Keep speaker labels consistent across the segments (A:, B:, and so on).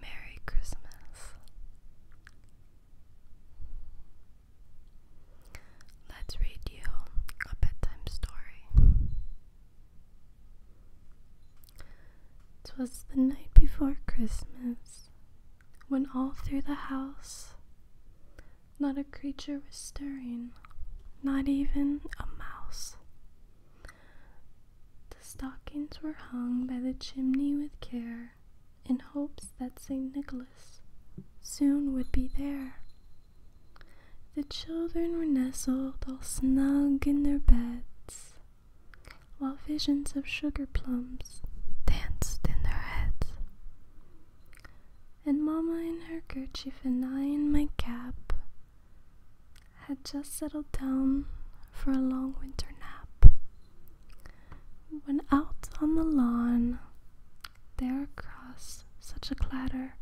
A: Merry Christmas. Let's read you a bedtime story. Twas the night before Christmas when all through the house not a creature was stirring, not even a mouse. The stockings were hung by the chimney with care, in hopes that St. Nicholas soon would be there. The children were nestled all snug in their beds, while visions of sugar plums danced in their heads and Mamma in her kerchief and I in my cap had just settled down for a long winter nap. When out on the lawn, there across such a clatter,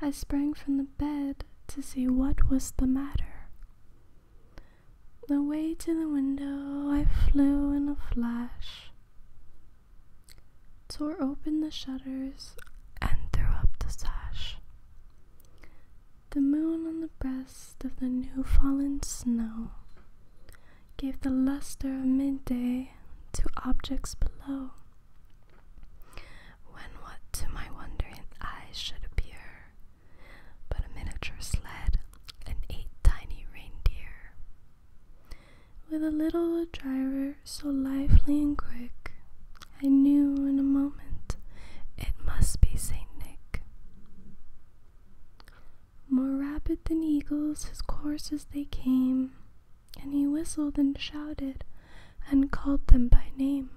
A: I sprang from the bed to see what was the matter. Away to the window I flew in a flash tore open the shutters, and threw up the sash. The moon on the breast of the new fallen snow gave the luster of midday to objects below. When what to my wondering eyes should appear but a miniature sled and eight tiny reindeer with a little driver so lively and quick, I knew in a moment it must be Saint Nick. More rapid than eagles his courses they came, and he whistled and shouted and called them by name.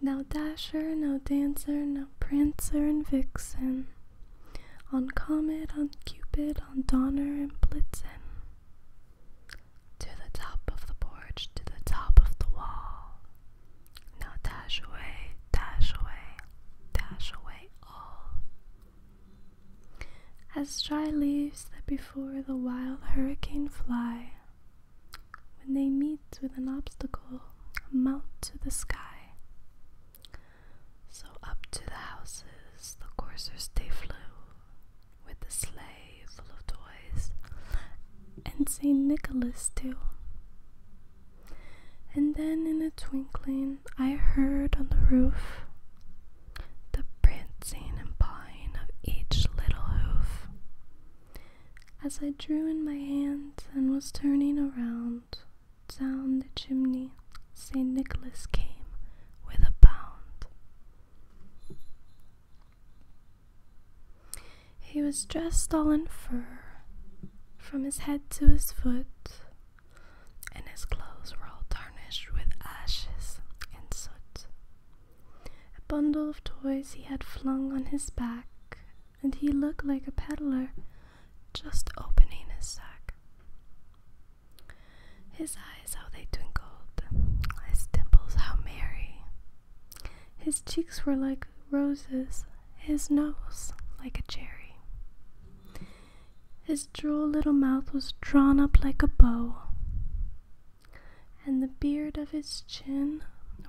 A: No dasher, no dancer, no prancer and vixen, on comet, on cupid, on donner and blitzen. To the top of the porch, to the top of the wall. Now dash away, dash away, dash away all. As dry leaves that before the wild hurricane fly, when they meet with an obstacle, mount to the sky. So up to the houses the coursers they flew, with the sleigh full of toys, and St. Nicholas too. And then in a twinkling I heard on the roof the prancing and pawing of each little hoof as I drew in my hands and was turning around. Down the chimney, St. Nicholas came with a bound. He was dressed all in fur, from his head to his foot, and his clothes were all tarnished with ashes and soot. A bundle of toys he had flung on his back, and he looked like a peddler just opening his sack. His eyes, how they twinkled, his dimples, how merry. His cheeks were like roses, his nose like a cherry. His droll little mouth was drawn up like a bow, and the beard of his chin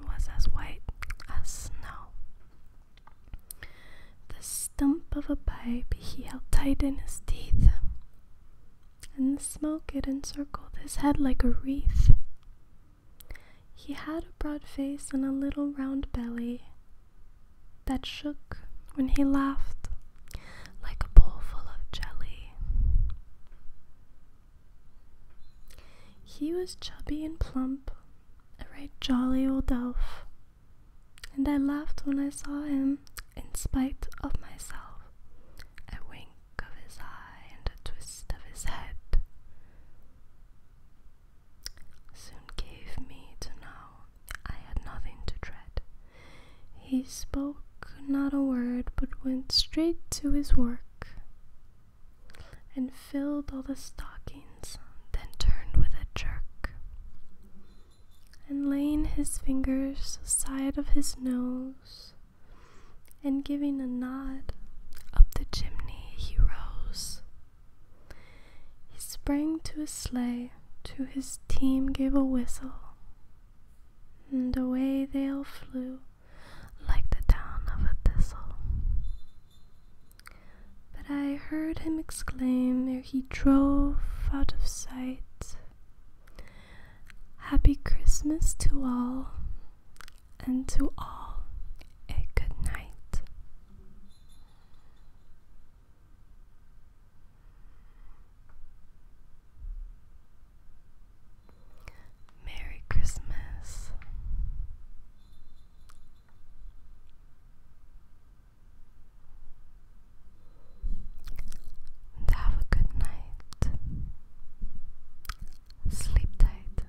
A: was as white as snow. The stump of a pipe he held tight in his teeth, and the smoke it encircled his head like a wreath. He had a broad face and a little round belly that shook when he laughed like a bowl of jelly. He was chubby and plump, a right jolly old elf, and I laughed when I saw him, in spite of myself. A wink of his eye and a twist of his head soon gave me to know I had nothing to dread. He spoke not a word, but went straight to his work and filled all the stockings, then turned with a jerk. And laying his fingers side of his nose, and giving a nod, up the chimney he rose. He sprang to his sleigh, to his team gave a whistle, and away they all flew like the down of a thistle. But I heard him exclaim ere he drove out of sight Happy Christmas to all, and to all a good night. Merry Christmas. And have a good night. Sleep tight.